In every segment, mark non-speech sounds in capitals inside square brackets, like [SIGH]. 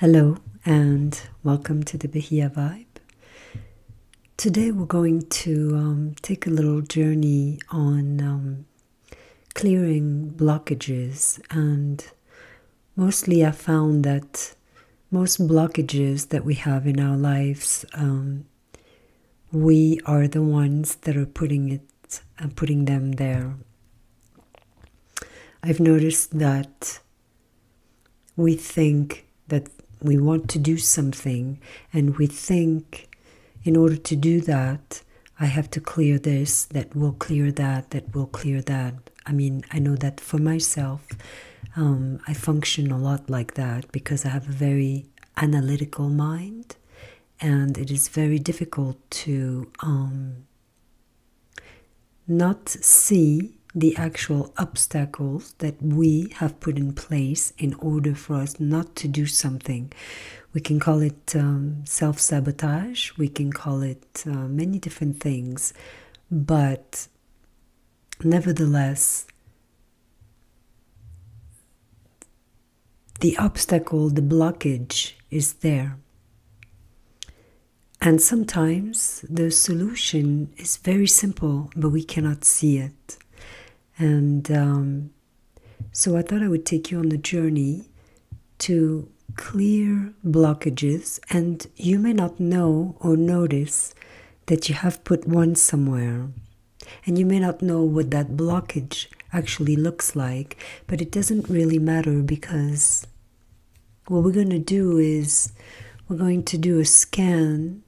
Hello and welcome to the Bahia Vibe. Today we're going to um, take a little journey on um, clearing blockages and mostly I found that most blockages that we have in our lives, um, we are the ones that are putting it and uh, putting them there. I've noticed that we think that we want to do something, and we think in order to do that, I have to clear this, that will clear that, that will clear that. I mean, I know that for myself, um, I function a lot like that because I have a very analytical mind, and it is very difficult to um, not see the actual obstacles that we have put in place in order for us not to do something. We can call it um, self sabotage, we can call it uh, many different things, but Nevertheless, the obstacle, the blockage is there. And sometimes the solution is very simple, but we cannot see it. And um, so I thought I would take you on a journey to clear blockages, and you may not know or notice that you have put one somewhere. And you may not know what that blockage actually looks like, but it doesn't really matter because what we're going to do is we're going to do a scan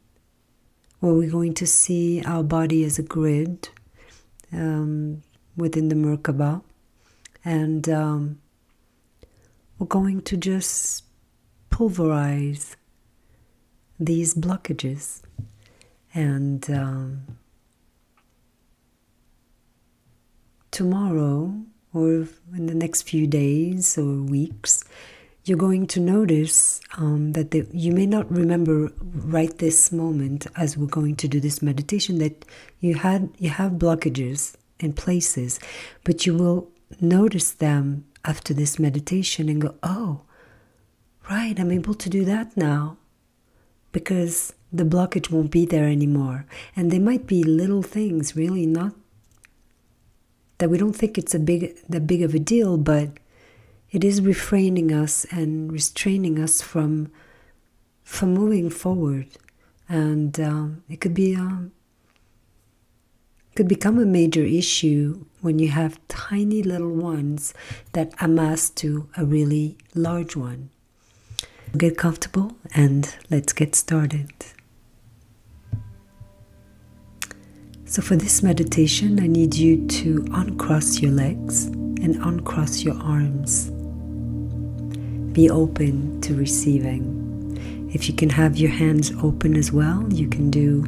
where we're going to see our body as a grid um, within the Merkaba. And um, we're going to just pulverize these blockages and um, tomorrow or in the next few days or weeks you're going to notice um, that you may not remember right this moment as we're going to do this meditation that you had you have blockages and places, but you will notice them after this meditation and go, oh, right, I'm able to do that now because the blockage won't be there anymore. And they might be little things, really not that we don't think it's a big that big of a deal, but it is refraining us and restraining us from from moving forward. And um, it could be um, could become a major issue when you have tiny little ones that amass to a really large one. Get comfortable and let's get started. So, for this meditation, I need you to uncross your legs and uncross your arms. Be open to receiving. If you can have your hands open as well, you can do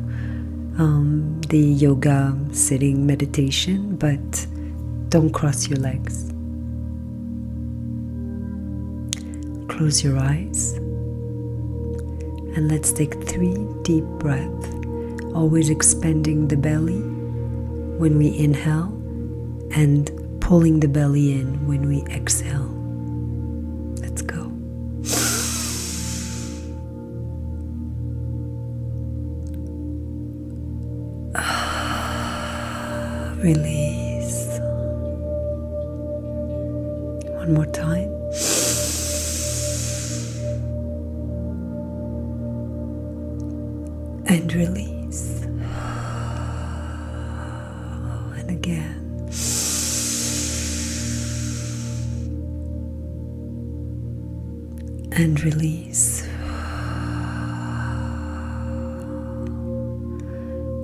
um, the yoga sitting meditation, but don't cross your legs. Close your eyes and let's take three deep breaths, always expanding the belly when we inhale and pulling the belly in when we exhale. Let's go. [SIGHS] Release. One more time. [SIGHS] And release. [SIGHS] and again. And release.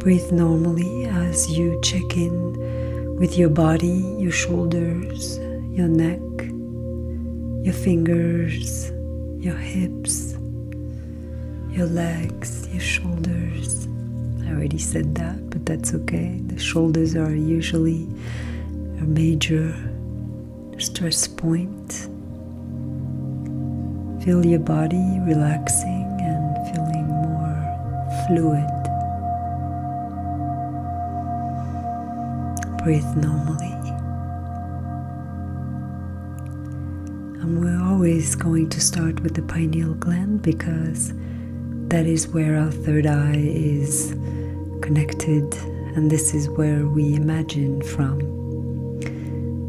Breathe normally as you check in with your body, your shoulders, your neck, your fingers, your hips, your legs, your shoulders. I already said that but that's okay. The shoulders are usually a major stress point. Feel your body relaxing and feeling more fluid. Breathe normally. And we're always going to start with the pineal gland because that is where our third eye is connected, and this is where we imagine from.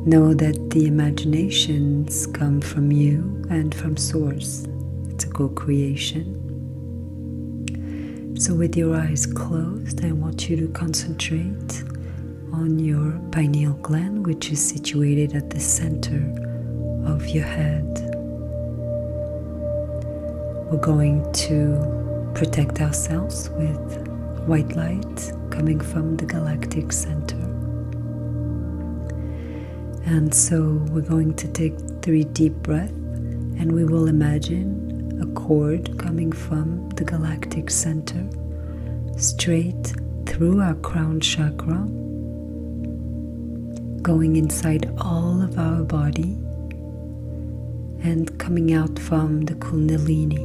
Know that the imaginations come from you and from Source. It's a co creation. So, with your eyes closed, I want you to concentrate on your pineal gland, which is situated at the center of your head. We're going to protect ourselves with white light coming from the galactic center. And so we're going to take three deep breaths and we will imagine a cord coming from the galactic center straight through our crown chakra going inside all of our body and coming out from the Kundalini.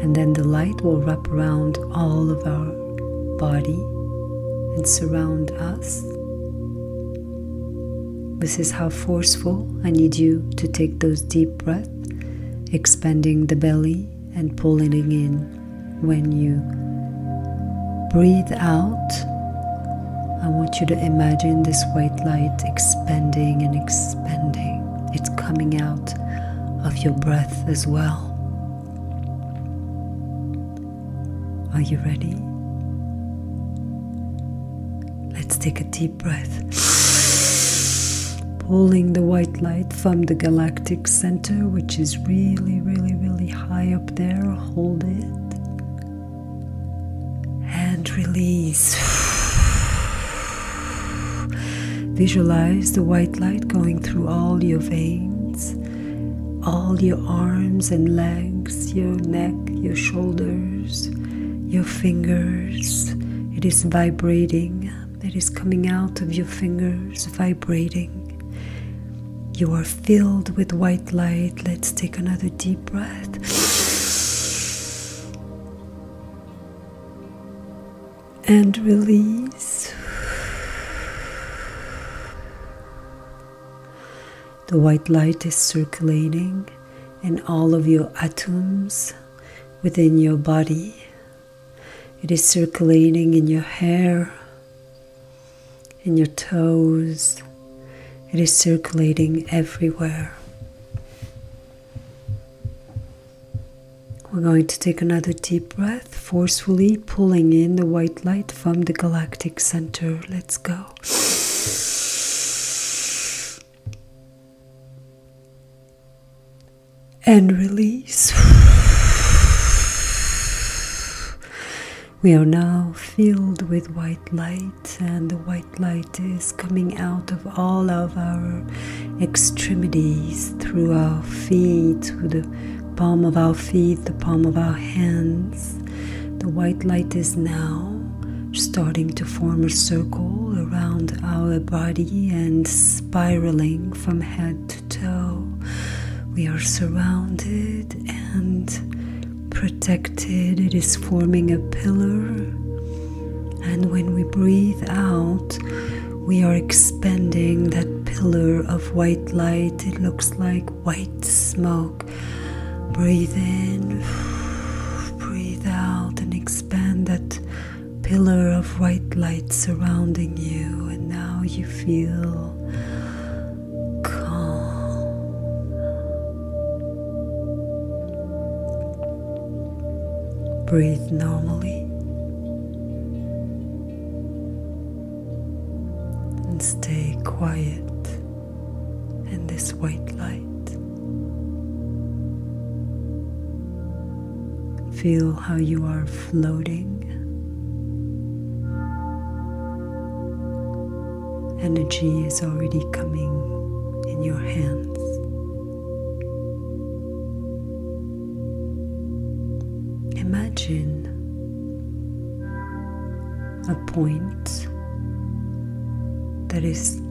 And then the light will wrap around all of our body and surround us. This is how forceful I need you to take those deep breaths, expanding the belly and pulling in when you breathe out, I want you to imagine this white light expanding and expanding. It's coming out of your breath as well. Are you ready? Let's take a deep breath, [SIGHS] pulling the white light from the galactic center, which is really, really, really high up there. Hold it and release. Visualize the white light going through all your veins, all your arms and legs, your neck, your shoulders, your fingers. It is vibrating, it is coming out of your fingers, vibrating. You are filled with white light. Let's take another deep breath. And release. The white light is circulating in all of your atoms within your body. It is circulating in your hair, in your toes. It is circulating everywhere. We're going to take another deep breath, forcefully pulling in the white light from the galactic center. Let's go. And release. We are now filled with white light, and the white light is coming out of all of our extremities through our feet, through the palm of our feet, the palm of our hands. The white light is now starting to form a circle around our body and spiraling from head toe, we are surrounded and protected. It is forming a pillar. And when we breathe out, we are expanding that pillar of white light. It looks like white smoke. Breathe in, [SIGHS] breathe out, and expand that pillar of white light surrounding you. And now you feel calm. Breathe normally and stay quiet in this white light. Feel how you are floating. Energy is already coming in your hands. Imagine a point that is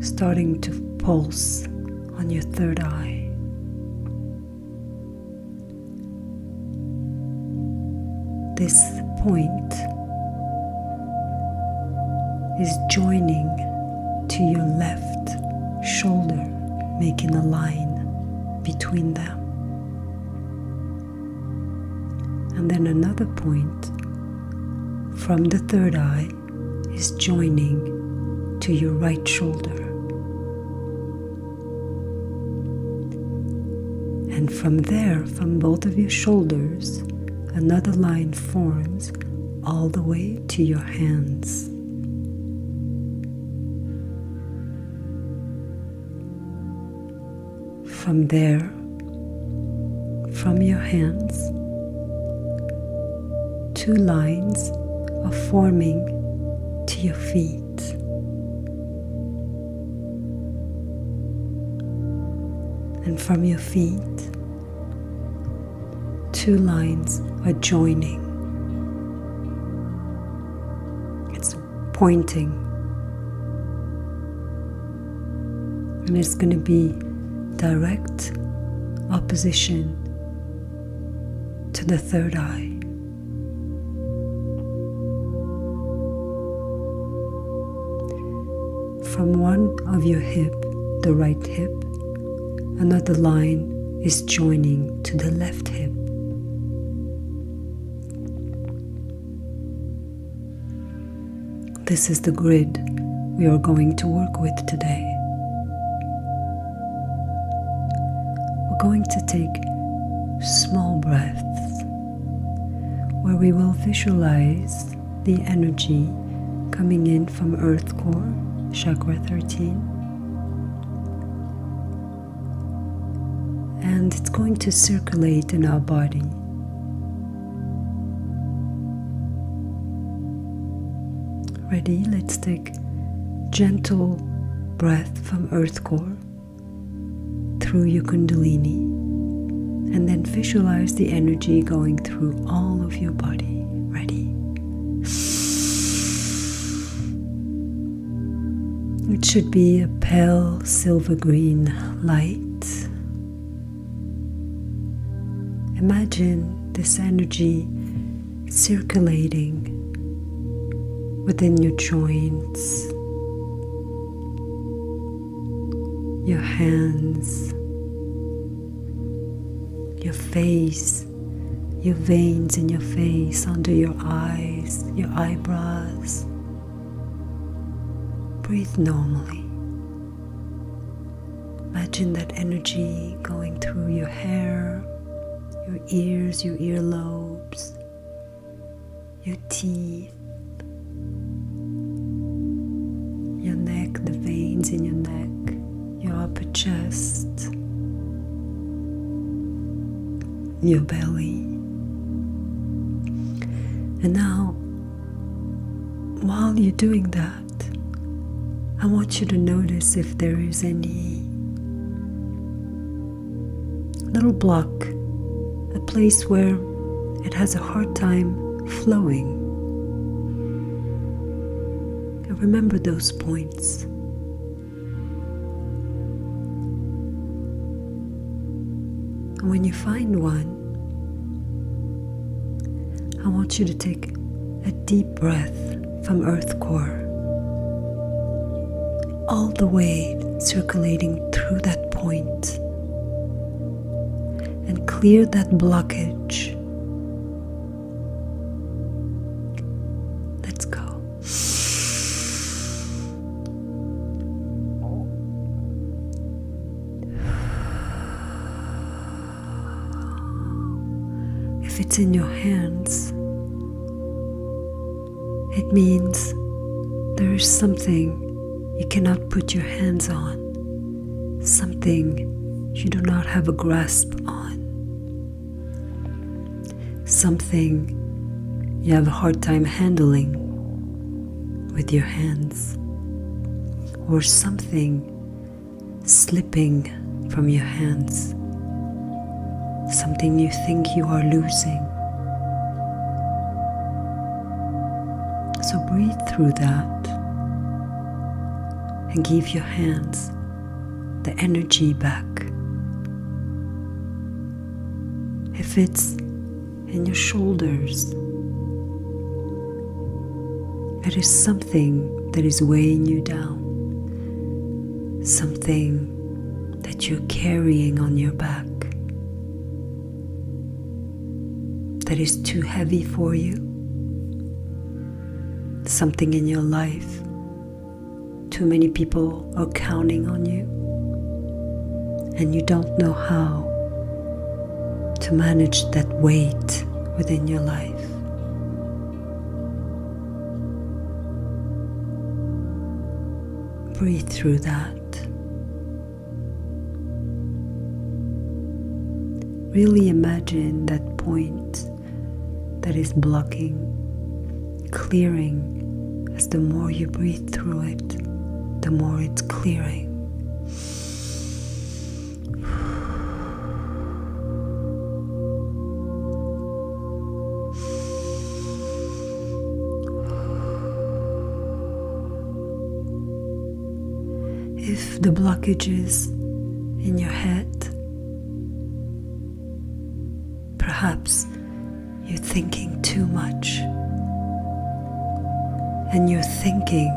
starting to pulse on your third eye. This point is joining to your left shoulder, making a line between them. And then another point from the third eye is joining to your right shoulder. And from there, from both of your shoulders, another line forms all the way to your hands. From there, from your hands, two lines are forming to your feet. And from your feet, two lines are joining. It's pointing. And it's going to be direct opposition to the third eye. From one of your hip, the right hip, another line is joining to the left hip. This is the grid we are going to work with today. We're going to take small breaths where we will visualize the energy coming in from Earth Core, Chakra 13. And it's going to circulate in our body. Ready? Let's take gentle breath from Earth Core through your Kundalini, and then visualize the energy going through all of your body. Ready? It should be a pale silver green light. Imagine this energy circulating within your joints, your hands, your face, your veins in your face, under your eyes, your eyebrows. Breathe normally. Imagine that energy going through your hair, your ears, your earlobes, your teeth, your neck, the veins in your neck, your upper chest, your belly. And now, while you're doing that, I want you to notice if there is any little block, a place where it has a hard time flowing. And remember those points. And when you find one, I want you to take a deep breath from earth core all the way, circulating through that point and clear that blockage. Let's go. If it's in your hands, it means there is something you cannot put your hands on, something you do not have a grasp on, something you have a hard time handling with your hands, or something slipping from your hands, something you think you are losing. So breathe through that and give your hands the energy back. If it's in your shoulders, there is something that is weighing you down, something that you're carrying on your back that is too heavy for you, something in your life, too many people are counting on you, and you don't know how to manage that weight within your life. Breathe through that. Really imagine that point that is blocking, clearing, as the more you breathe through it, the more it's clearing. If the blockages in your head, perhaps you're thinking too much and your thinking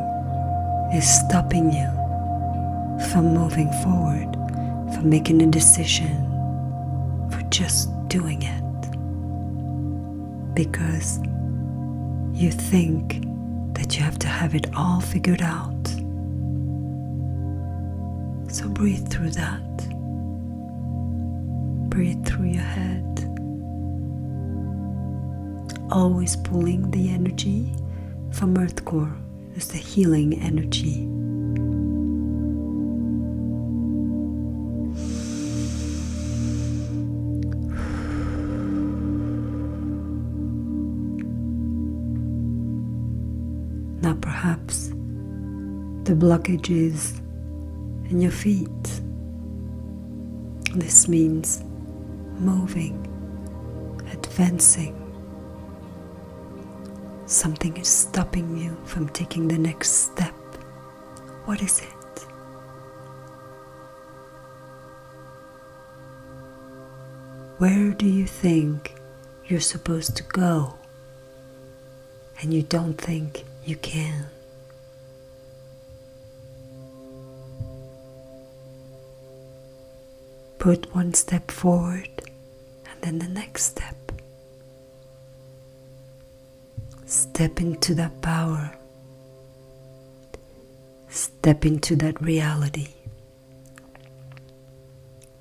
is stopping you from moving forward, from making a decision, for just doing it because you think that you have to have it all figured out. So breathe through that. Breathe through your head. Always pulling the energy from Earth Core is the healing energy. Now, perhaps the blockages in your feet. This means moving, advancing. Something is stopping you from taking the next step. What is it? Where do you think you're supposed to go and you don't think you can? Put one step forward and then the next step. Step into that power. Step into that reality.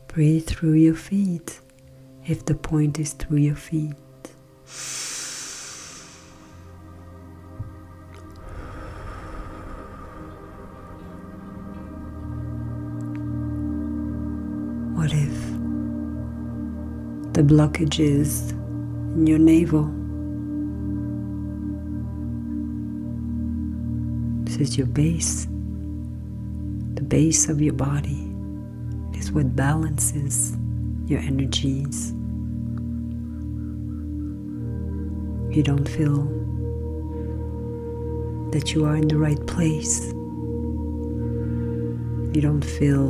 Breathe through your feet if the point is through your feet. What if the blockages in your navel. This is your base, the base of your body. is what balances your energies. You don't feel that you are in the right place. You don't feel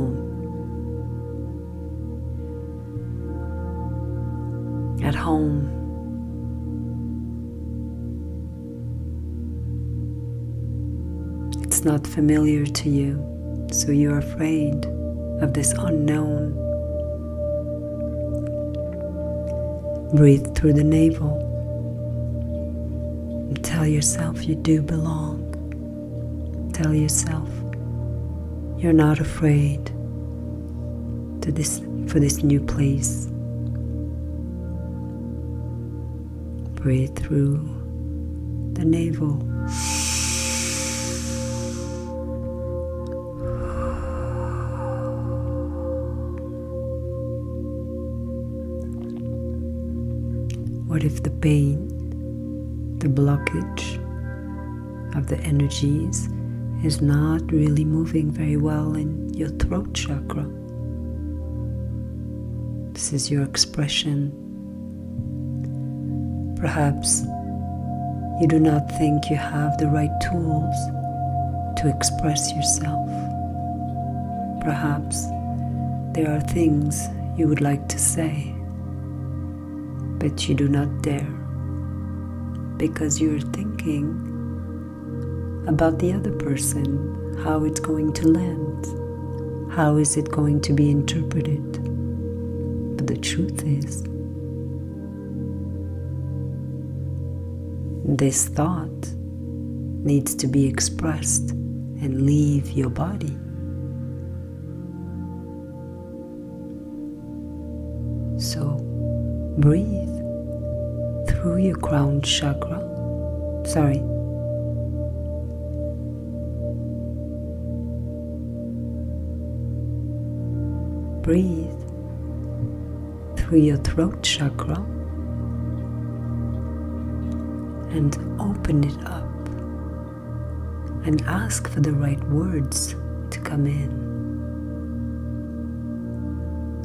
at home. It's not familiar to you, so you're afraid of this unknown. Breathe through the navel and tell yourself you do belong. Tell yourself you're not afraid to this for this new place. Breathe through the navel. What if the pain the blockage of the energies is not really moving very well in your throat chakra. This is your expression. Perhaps you do not think you have the right tools to express yourself. Perhaps there are things you would like to say, but you do not dare because you're thinking about the other person, how it's going to land, how is it going to be interpreted. But the truth is, this thought needs to be expressed and leave your body. So breathe through your crown chakra. Sorry. Breathe through your throat chakra and open it up and ask for the right words to come in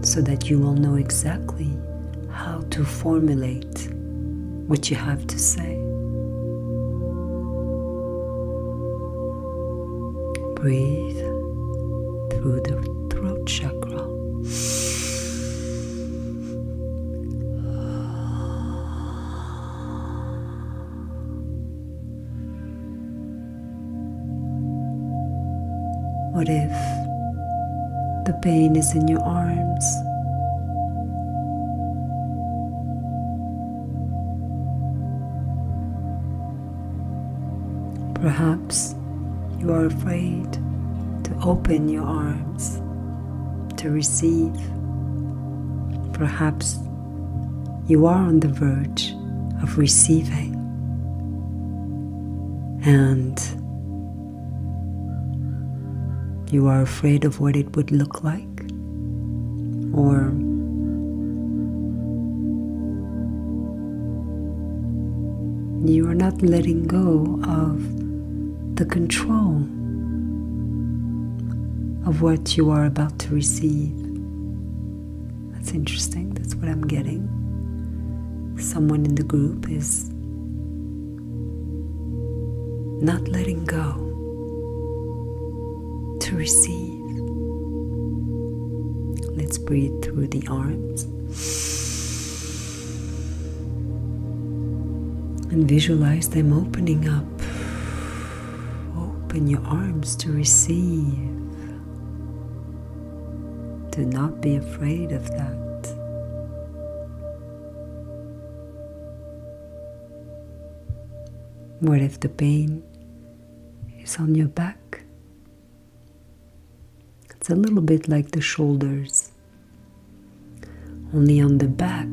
so that you will know exactly how to formulate what you have to say. Breathe through the throat chakra. What if the pain is in your arms? Perhaps you are afraid to open your arms to receive. Perhaps you are on the verge of receiving. And you are afraid of what it would look like, or you are not letting go of the control of what you are about to receive. That's interesting, that's what I'm getting. Someone in the group is not letting go to receive. Let's breathe through the arms and visualize them opening up Open your arms to receive. Do not be afraid of that. What if the pain is on your back? It's a little bit like the shoulders only on the back.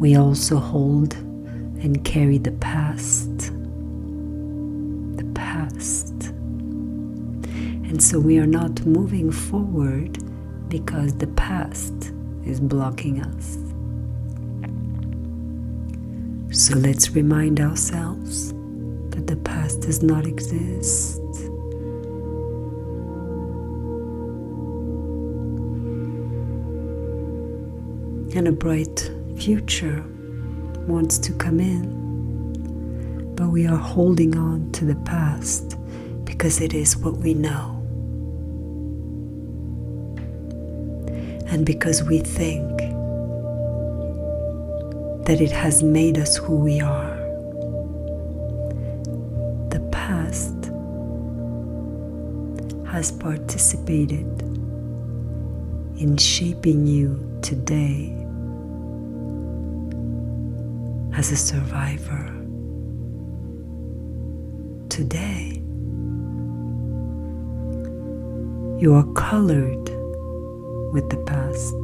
We also hold and carry the past, the past. And so we are not moving forward because the past is blocking us. So let's remind ourselves that the past does not exist. And a bright future wants to come in, but we are holding on to the past because it is what we know. And because we think that it has made us who we are. The past has participated in shaping you today as a survivor. Today, you are colored with the past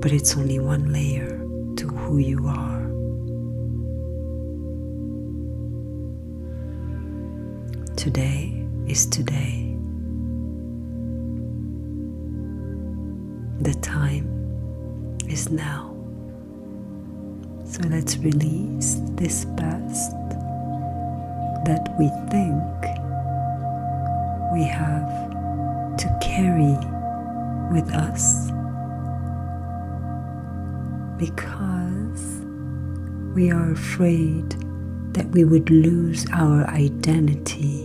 but it's only one layer to who you are. Today is today. The time is now. So let's release this past that we think we have to carry with us because we are afraid that we would lose our identity.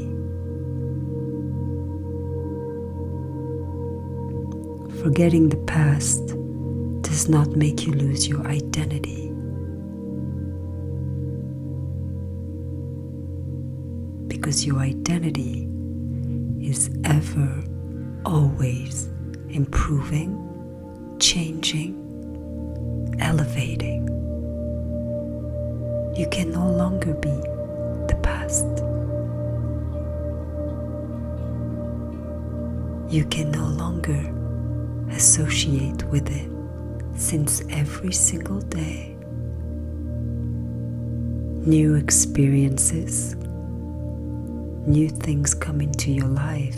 Forgetting the past does not make you lose your identity because your identity is ever, always improving, changing, elevating. You can no longer be the past. You can no longer associate with it since every single day new experiences New things come into your life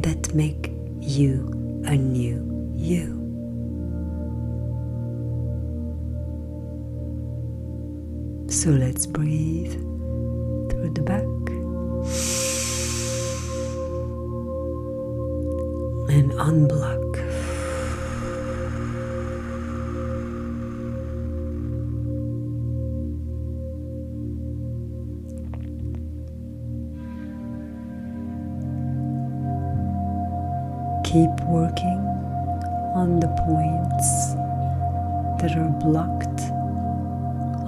that make you a new you. So let's breathe through the back and unblock. Keep working on the points that are blocked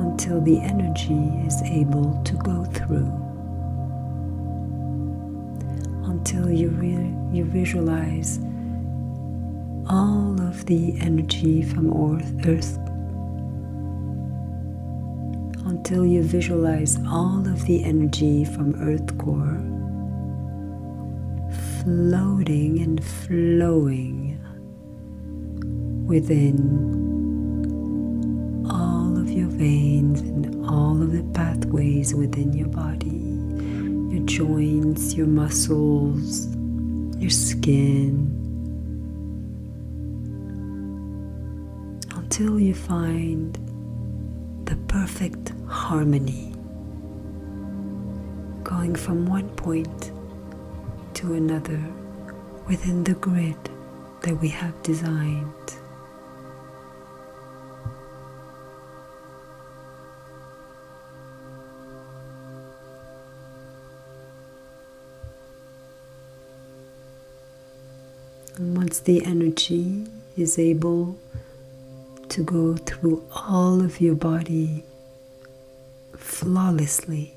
until the energy is able to go through. Until you, you visualize all of the energy from Earth until you visualize all of the energy from Earth core floating and flowing within all of your veins and all of the pathways within your body, your joints, your muscles, your skin, until you find the perfect harmony going from one point to another within the grid that we have designed. And once the energy is able to go through all of your body flawlessly,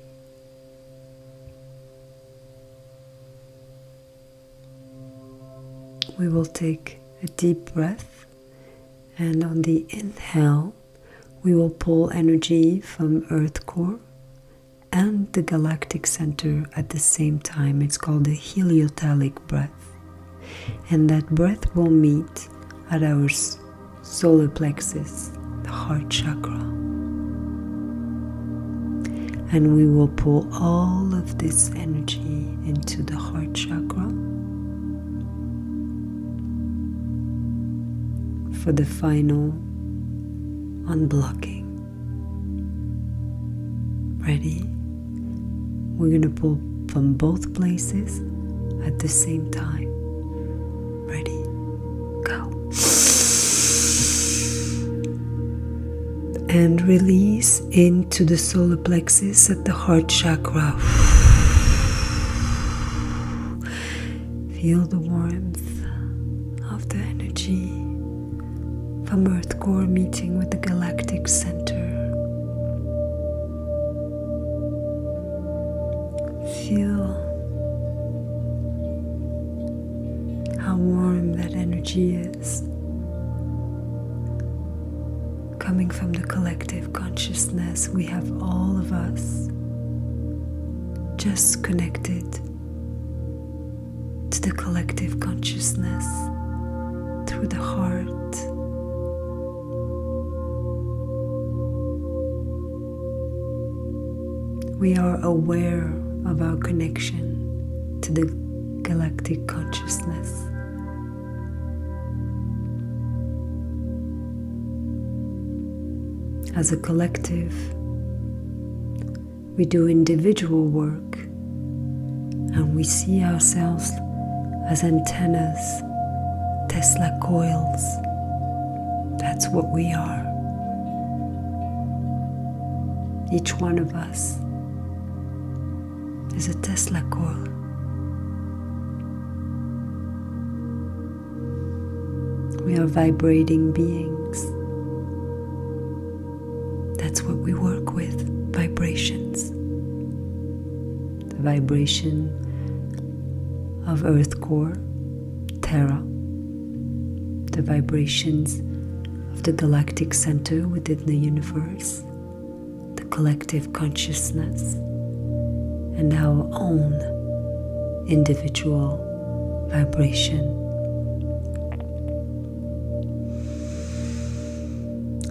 we will take a deep breath, and on the inhale, we will pull energy from Earth core and the galactic center at the same time. It's called the heliotelic breath. And that breath will meet at our solar plexus, the heart chakra. And we will pull all of this energy into the heart chakra for the final unblocking. Ready? We're going to pull from both places at the same time. Ready? Go. And release into the solar plexus the heart chakra. Feel the warmth of the energy from Earth core meeting with the galactic center. Feel how warm that energy is coming from the collective consciousness we have all of us, just connected to the collective consciousness through the heart. We are aware of our connection to the galactic consciousness as a collective, we do individual work and we see ourselves as antennas, Tesla coils. That's what we are. Each one of us is a Tesla coil. We are vibrating beings. That's what we work with vibrations. The vibration of Earth core, Terra, the vibrations of the galactic center within the universe, the collective consciousness and our own individual vibration.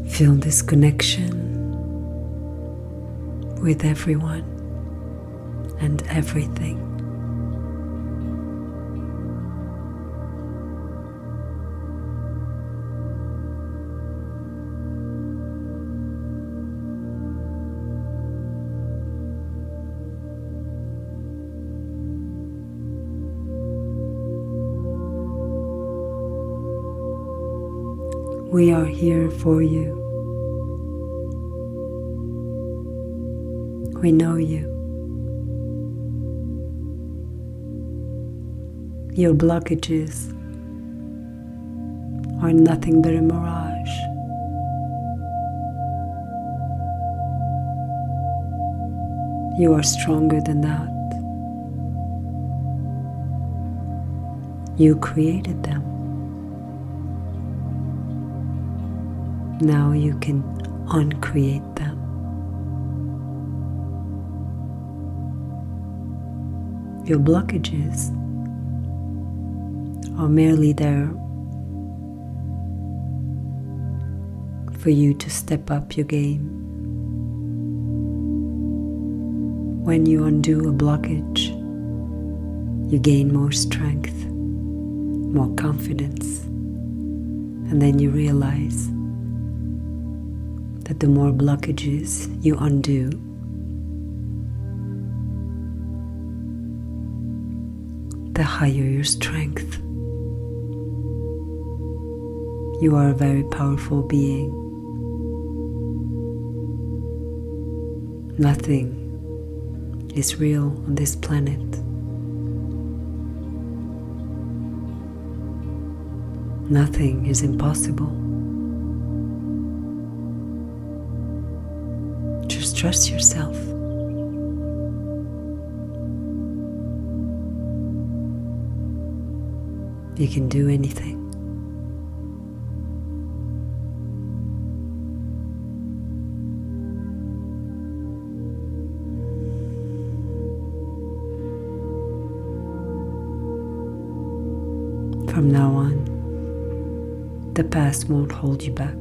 Feel this connection with everyone and everything. We are here for you. We know you. Your blockages are nothing but a mirage. You are stronger than that. You created them. Now you can uncreate them your blockages are merely there for you to step up your game. When you undo a blockage, you gain more strength, more confidence, and then you realize that the more blockages you undo, the higher your strength. You are a very powerful being. Nothing is real on this planet. Nothing is impossible. To trust yourself. You can do anything. From now on, the past won't hold you back.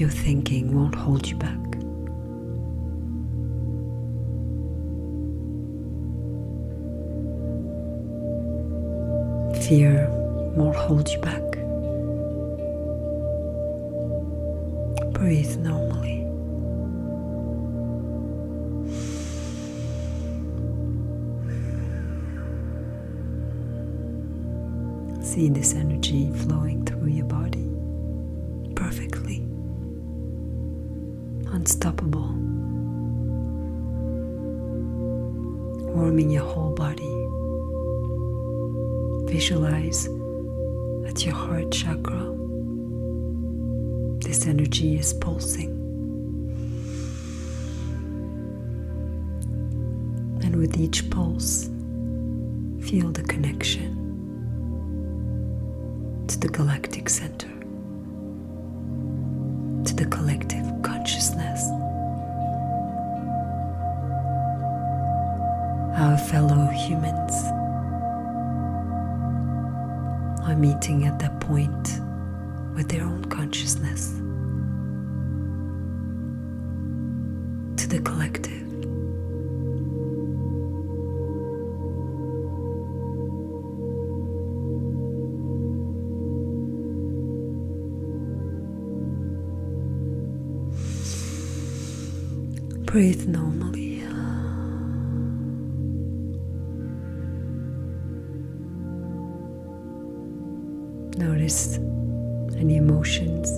Your thinking won't hold you back. Fear won't hold you back. Breathe normally. See this energy flowing through your body perfectly, unstoppable, warming your whole body. Visualize at your heart chakra this energy is pulsing. And with each pulse, feel the connection to the galactic center, to the collective consciousness, our fellow humans are meeting at the point with their own consciousness to the collective. Breathe normally. Notice any emotions,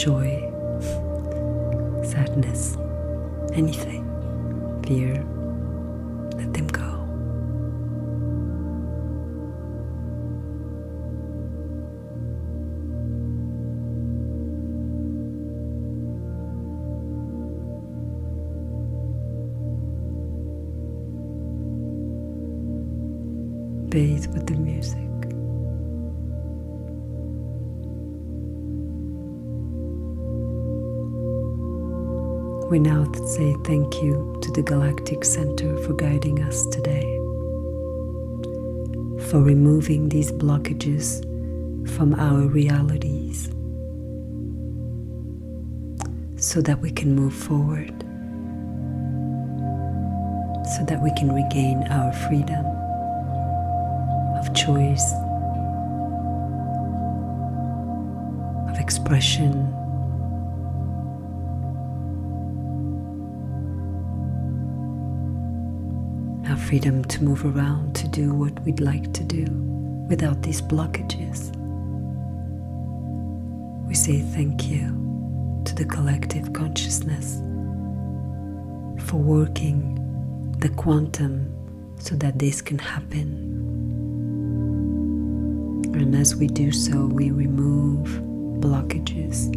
joy, sadness, anything, fear, let them go. Bathe with the music. We now say thank you to the Galactic Center for guiding us today, for removing these blockages from our realities so that we can move forward, so that we can regain our freedom of choice, of expression. Our freedom to move around, to do what we'd like to do without these blockages. We say thank you to the collective consciousness for working the quantum so that this can happen. And as we do so, we remove blockages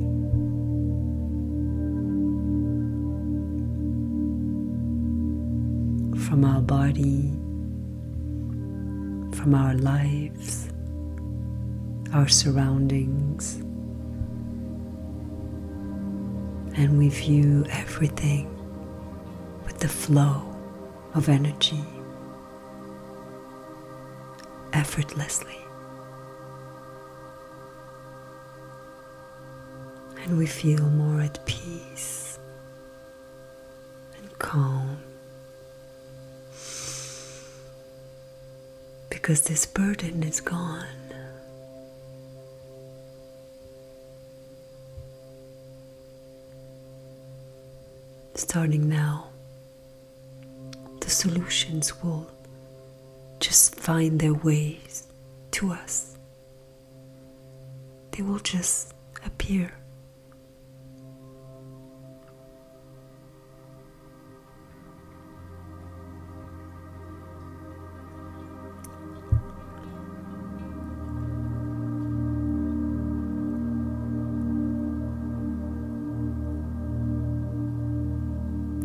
from our body, from our lives, our surroundings. And we view everything with the flow of energy effortlessly and we feel more at peace and calm because this burden is gone. Starting now, the solutions will just find their ways to us they will just appear.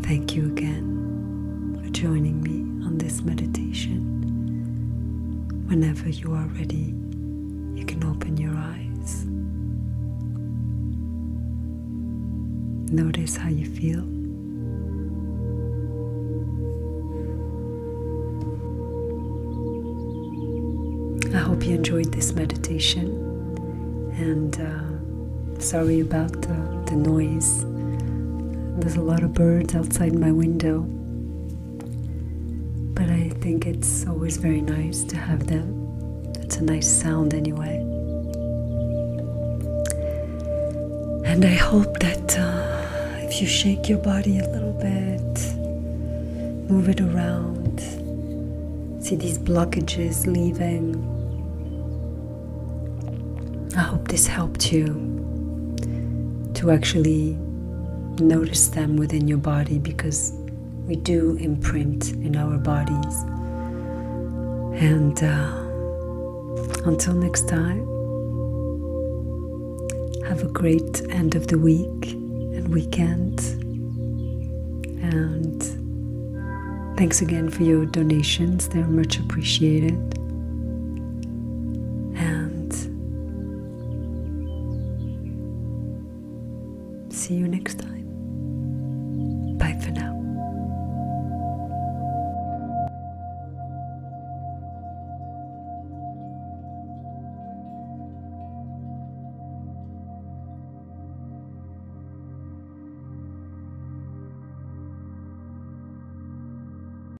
Thank you again for joining me on this meditation. Whenever you are ready, you can open your eyes. Notice how you feel. I hope you enjoyed this meditation and uh, sorry about the noise. There's a lot of birds outside my window, but I think it's always very nice to have them. It's a nice sound anyway. And I hope that uh, if you shake your body a little bit, move it around, see these blockages leaving. I hope this helped you to actually notice them within your body because we do imprint in our bodies. And uh, until next time, have a great end of the week and weekend. And thanks again for your donations, they're much appreciated and see you next time. Bye for now.